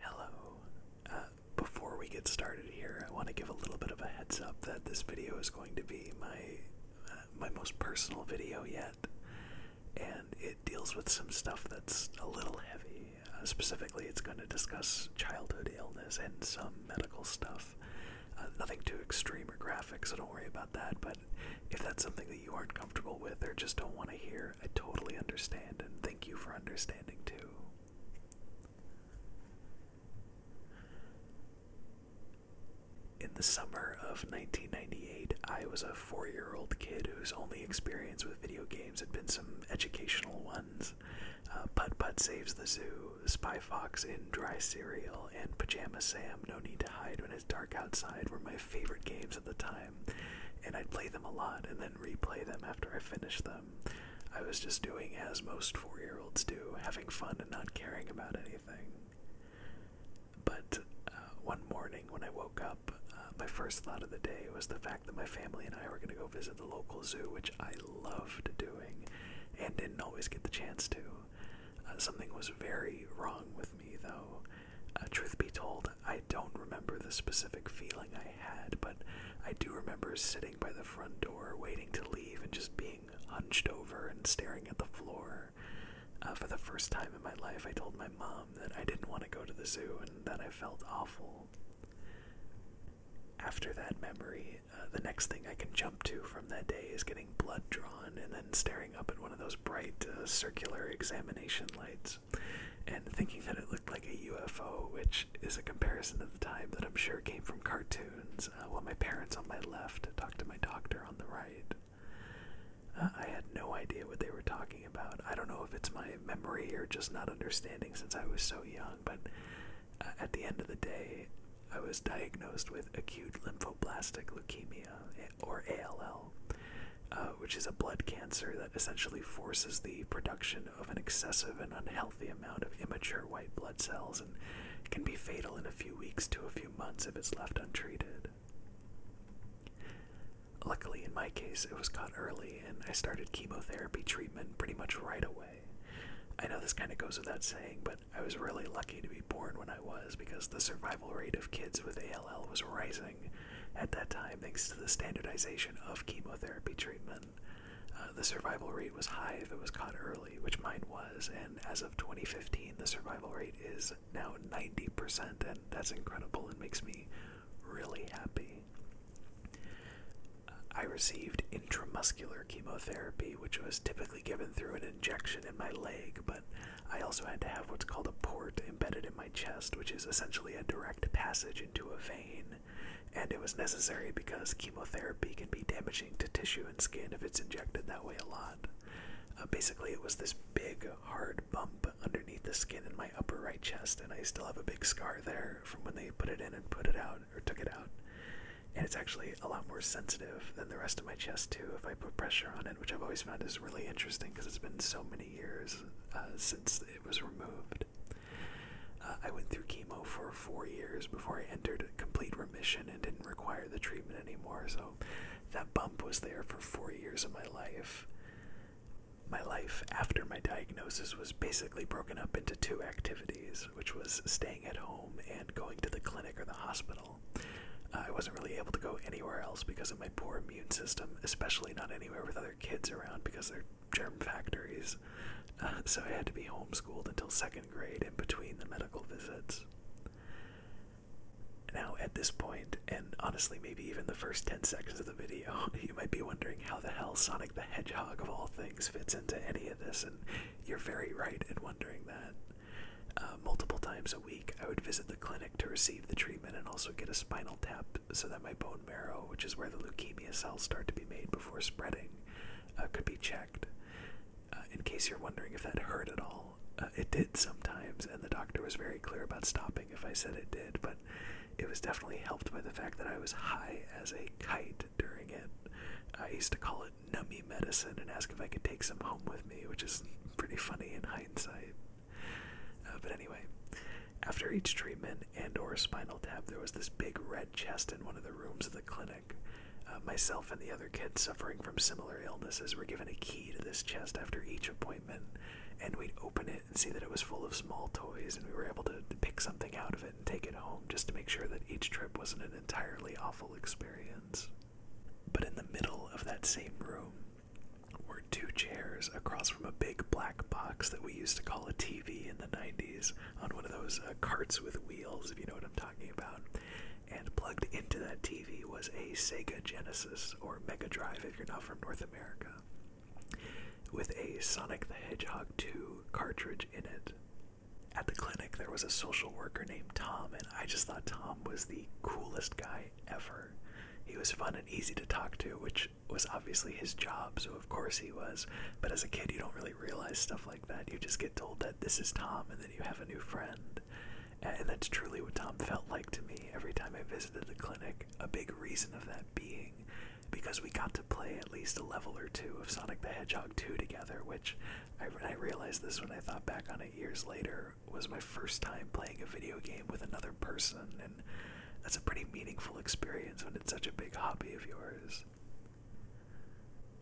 Hello. Uh, before we get started here, I want to give a little bit of a heads up that this video is going to be my uh, my most personal video yet, and it deals with some stuff that's a little heavy. Uh, specifically, it's going to discuss childhood illness and some medical stuff. nothing too extreme or graphic, so don't worry about that. But if that's something that you aren't comfortable with or just don't want to hear, I totally understand, and thank you for understanding too. In the summer of 1998, I was a four year old kid whose only experience with video games had been some educational ones. Uh, Putt Saves the Zoo, Spy Fox in Dry Cereal, and Pajama Sam No Need to Hide When It's Dark Outside were my favorite games at the time and I'd play them a lot and then replay them after I finished them. I was just doing as most four year olds do, having fun and not caring about anything. But uh, one morning when I woke up, uh, my first thought of the day was the fact that my family and I were going to go visit the local zoo, which I loved doing and didn't always get the chance to. Uh, something was very wrong with me, though. Uh, truth be told, I don't remember the specific feeling I had, but I do remember sitting by the front door waiting to leave and just being hunched over and staring at the floor. Uh, for the first time in my life, I told my mom that I didn't want to go to the zoo and that I felt awful. After that memory, uh, the next thing I can jump to from that day is getting blood drawn and then staring up at one of those bright uh, circular examination lights and thinking that it looked like a UFO, which is a comparison of the time that I'm sure came from cartoons. Uh, while my parents on my left talked to my doctor on the right. Uh, I had no idea what they were talking about. I don't know if it's my memory or just not understanding since I was so young, but uh, at the end of the day, I was diagnosed with acute lymphoblastic leukemia, eh, or ALL, uh, which is a blood cancer that essentially forces the production of an excessive and unhealthy amount of immature white blood cells and can be fatal in a few weeks to a few months if it's left untreated. Luckily, in my case, it was caught early and I started chemotherapy treatment pretty much right away. I know this kind of goes without saying, but I was really lucky to be born when I was because the survival rate of kids with ALL was rising at that time thanks to the standardization of chemotherapy treatment. Uh, the survival rate was high if it was caught early, which mine was, and as of 2015, the survival rate is now 90%, and that's incredible and makes me really happy. I received intramuscular chemotherapy, which was typically given through an injection in my leg, but I also had to have what's called a port embedded in my chest, which is essentially a direct passage into a vein, and it was necessary because chemotherapy can be damaging to tissue and skin if it's injected that way a lot. Uh, basically, it was this big, hard bump underneath the skin in my upper right chest, and I still have a big scar there from when they put it in and put it out, or took it out. And it's actually a lot more sensitive than the rest of my chest, too, if I put pressure on it, which I've always found is really interesting because it's been so many years uh, since it was removed. Uh, I went through chemo for four years before I entered complete remission and didn't require the treatment anymore. So that bump was there for four years of my life. My life after my diagnosis was basically broken up into two activities, which was staying at home and going to the clinic or the hospital. Uh, I wasn't really able to go anywhere else because of my poor immune system, especially not anywhere with other kids around because they're germ factories, uh, so I had to be homeschooled until second grade in between the medical visits. Now, at this point, and honestly, maybe even the first 10 seconds of the video, you might be wondering how the hell Sonic the Hedgehog, of all things, fits into any of this, and you're very right in wondering that. Uh, multiple times a week, I would visit the clinic to receive the treatment and also get a spinal tap so that my bone marrow, which is where the leukemia cells start to be made before spreading, uh, could be checked. Uh, in case you're wondering if that hurt at all, uh, it did sometimes, and the doctor was very clear about stopping if I said it did, but it was definitely helped by the fact that I was high as a kite during it. I used to call it nummy medicine and ask if I could take some home with me, which is pretty funny in hindsight. Uh, but anyway, after each treatment and/or spinal tap, there was this big red chest in one of the rooms of the clinic. Uh, myself and the other kids suffering from similar illnesses were given a key to this chest after each appointment, and we'd open it and see that it was full of small toys, and we were able to pick something out of it and take it home just to make sure that each trip wasn't an entirely awful experience. But in the middle of that same room, were two chairs across from a big black box that we used to call a TV in the 90s on one of those uh, carts with wheels, if you know what I'm talking about. And plugged into that TV was a Sega Genesis or Mega Drive if you're not from North America, with a Sonic the Hedgehog 2 cartridge in it. At the clinic, there was a social worker named Tom, and I just thought Tom was the coolest guy ever. He was fun and easy to talk to, which was obviously his job, so of course he was. But as a kid, you don't really realize stuff like that. You just get told that this is Tom, and then you have a new friend. And that's truly what Tom felt like to me every time I visited the clinic. A big reason of that being because we got to play at least a level or two of Sonic the Hedgehog 2 together, which I, realized this when I thought back on it years later was my first time playing a video game with another person. And that's a pretty meaningful experience when it's such a big hobby of yours.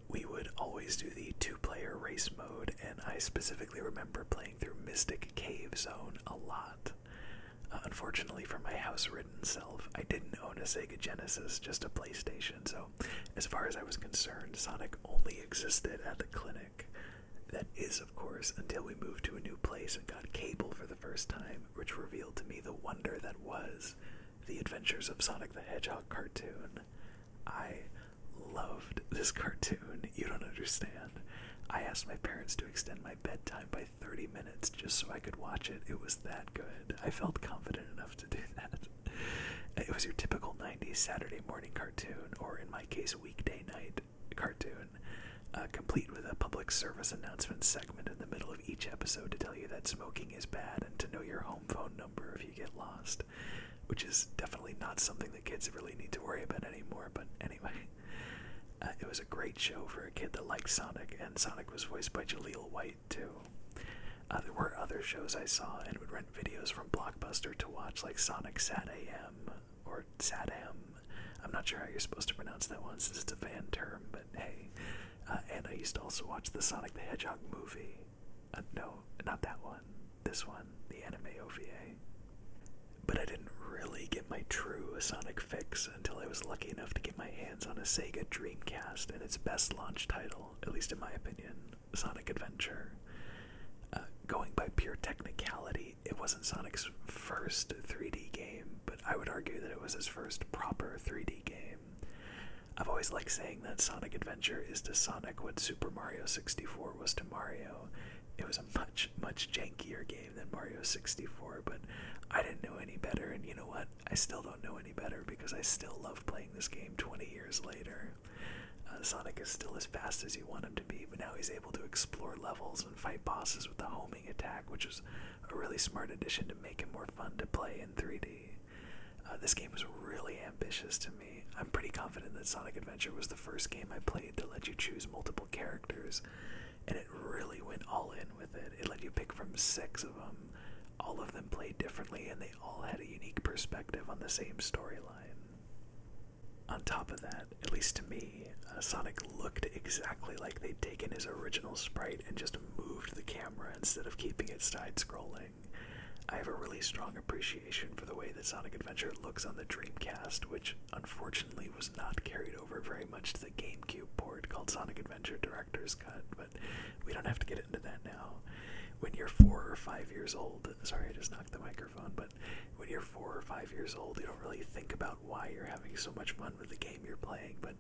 We would always do the two player race mode, and I specifically remember playing through Mystic Cave Zone a lot. Uh, unfortunately, for my house ridden self, I didn't own a Sega Genesis, just a PlayStation, so as far as I was concerned, Sonic only existed at the clinic. That is, of course, until we moved to a new place and got cable for the first time, which revealed to me the wonder that was The Adventures of Sonic the Hedgehog cartoon. I loved this cartoon, you don't understand. I asked my parents to extend my bedtime by 30 minutes just so I could watch it. It was that good. I felt confident enough to do that. It was your typical 90s Saturday morning cartoon, or in my case, weekday night, cartoon, uh, complete with a public service announcement segment in the middle of each episode to tell you that smoking is bad and to know your home phone number if you get lost, which is definitely not something that kids really need to worry about anymore. But anyway, uh, it was a great show for a kid that likes Sonic, and Sonic was voiced by Jaleel White too. Uh, there were other shows I saw and would rent videos from Blockbuster to watch, like Sonic Sat AM, or Sadam, I'm not sure how you're supposed to pronounce that one since it's a fan term, but hey. Uh, and I used to also watch the Sonic the Hedgehog movie. Uh, no, not that one. This one, the anime OVA. But I didn't really get my true Sonic fix until I was lucky enough to get my hands on a Sega Dreamcast and its best launch title, at least in my opinion, Sonic Adventure. Uh, going by pure technicality, it wasn't Sonic's first 3D game, but I would argue that it was his first proper 3D game. I've always liked saying that Sonic Adventure is to Sonic what Super Mario 64 was to Mario. It was a much, much jankier game than Mario 64, but I didn't know any better, and you know what? I still don't know any better because I still love playing this game 20 years later. Uh, Sonic is still as fast as you want him to be, but now he's able to explore levels and fight bosses with the homing attack, which was a really smart addition to make it more fun to play in 3D. Uh, this game was really ambitious to me. I'm pretty confident that Sonic Adventure was the first game I played that let you choose multiple characters, and it really went all in with it. It let you pick from six of them. All of them played differently, and they all had a unique perspective on the same storyline. On top of that, at least to me, uh, Sonic looked exactly like they'd taken his original sprite and just moved the camera instead of keeping it side scrolling. I have a really strong appreciation for the way that Sonic Adventure looks on the Dreamcast, which unfortunately was not carried over very much to the GameCube port called Sonic Adventure Director's Cut, but we don't have to get into that now. When you're four or five years old, sorry, I just knocked the microphone, but when you're four or five years old, you don't really think about why you're having so much fun with the game you're playing, but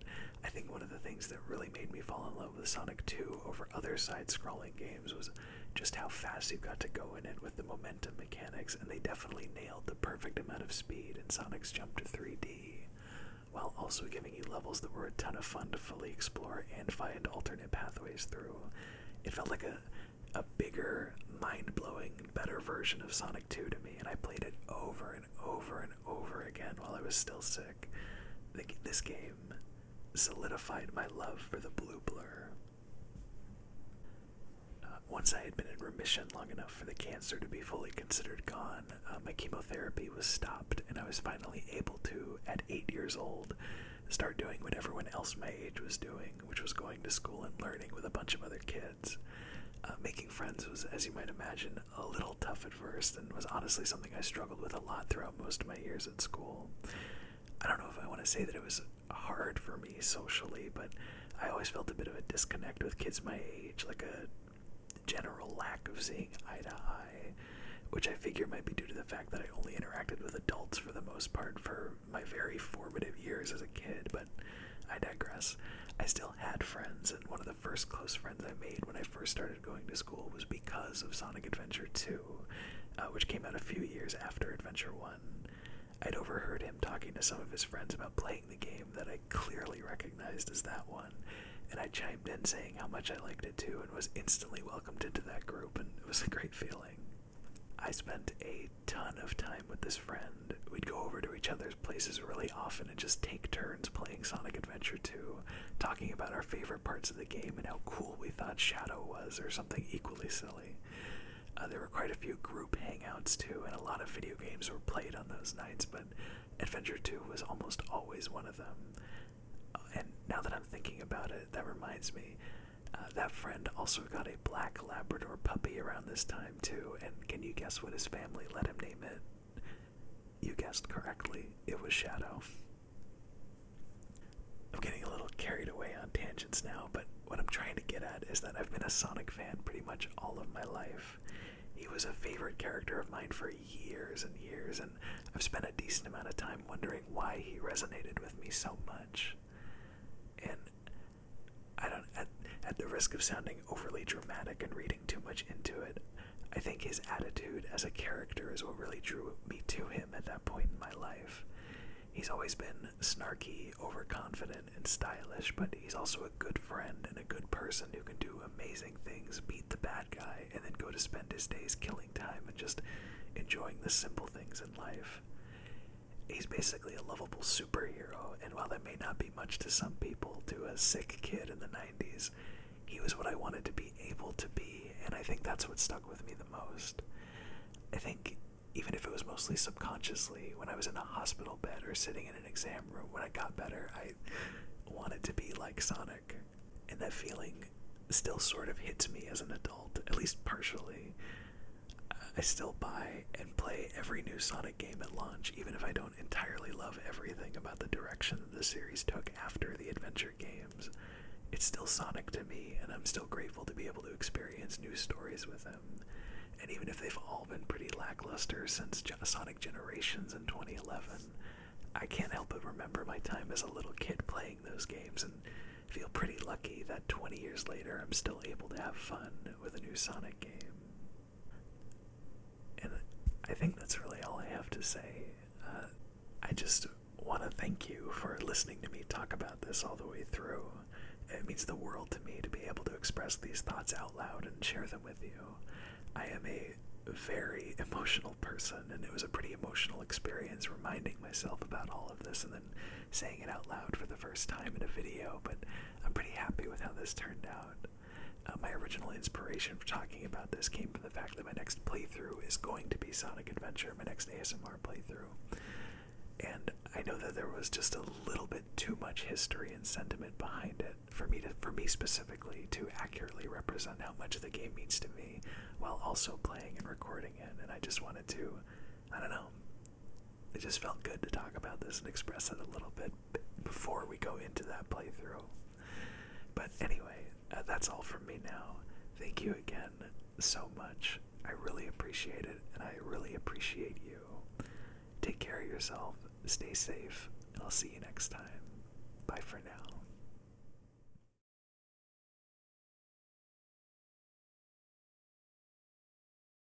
I think one of the things that really made me fall in love with Sonic 2 over other side scrolling games was just how fast you have got to go in it with the momentum mechanics, and they definitely nailed the perfect amount of speed in Sonic's jump to 3D, while also giving you levels that were a ton of fun to fully explore and find alternate pathways through. It felt like a a bigger, mind blowing better version of Sonic 2 to me, and I played it over and over and over again while I was still sick. This game solidified my love for the blue blur. Uh, once I had been in remission long enough for the cancer to be fully considered gone, uh, my chemotherapy was stopped, and I was finally able to, at eight years old, start doing what everyone else my age was doing, which was going to school and learning with a bunch of other kids. Uh, making friends was, as you might imagine, a little tough at first and was honestly something I struggled with a lot throughout most of my years at school. I don't know if I want to say that it was hard for me socially, but I always felt a bit of a disconnect with kids my age, like a general lack of seeing eye to eye, which I figure might be due to the fact that I only interacted with adults for the most part for my very formative years as a kid. I digress. I still had friends, and one of the first close friends I made when I first started going to school was because of Sonic Adventure 2, uh, which came out a few years after Adventure 1. I'd overheard him talking to some of his friends about playing the game that I clearly recognized as that one, and I chimed in saying how much I liked it too and was instantly welcomed into that group, and it was a great feeling. I spent eight ton of time with this friend. We'd go over to each other's places really often and just take turns playing Sonic Adventure 2, talking about our favorite parts of the game and how cool we thought Shadow was, or something equally silly. Uh, there were quite a few group hangouts too, and a lot of video games were played on those nights, but Adventure 2 was almost always one of them. Uh, and now that I'm thinking about it, that reminds me. Uh, that friend also got a black Labrador puppy around this time, too. And can you guess what his family let him name it? You guessed correctly. It was Shadow. I'm getting a little carried away on tangents now, but what I'm trying to get at is that I've been a Sonic fan pretty much all of my life. He was a favorite character of mine for years and years, and I've spent a decent amount of time wondering why he resonated with me so much. And I don't at, at the risk of sounding overly dramatic and reading too much into it, I think his attitude as a character is what really drew me to him at that point in my life. He's always been snarky, overconfident, and stylish, but he's also a good friend and a good person who can do amazing things, beat the bad guy, and then go to spend his days killing time and just enjoying the simple things in life he's basically a lovable superhero. And while that may not be much to some people, to a sick kid in the 90s, he was what I wanted to be able to be. And I think that's what stuck with me the most. I think even if it was mostly subconsciously, when I was in a hospital bed or sitting in an exam room, when I got better, I wanted to be like Sonic. And that feeling still sort of hits me as an adult, at least partially. I still buy and play every new Sonic game at launch, even if I don't entirely love everything about the direction that the series took after the adventure games. It's still Sonic to me, and I'm still grateful to be able to experience new stories with him. And even if they've all been pretty lackluster since Sonic Generations in 2011, I can't help but remember my time as a little kid playing those games and feel pretty lucky that 20 years later I'm still able to have fun with a new Sonic game. And I think that's really all I have to say. Uh, I just want to thank you for listening to me talk about this all the way through. It means the world to me to be able to express these thoughts out loud and share them with you. I am a very emotional person, and it was a pretty emotional experience reminding myself about all of this and then saying it out loud for the first time in a video, but I'm pretty happy with how this turned out. Uh, my original inspiration for talking about this came from the fact that my next playthrough is going to be Sonic Adventure, my next ASMR playthrough. And I know that there was just a little bit too much history and sentiment behind it for me to, for me specifically, to accurately represent how much the game means to me, while also playing and recording it. And I just wanted to, I don't know, it just felt good to talk about this and express it a little bit before we go into that playthrough. But anyway, uh, that's all from me now. Thank you again so much. I really appreciate it, and I really appreciate you. Take care of yourself, stay safe, and I'll see you next time. Bye for now.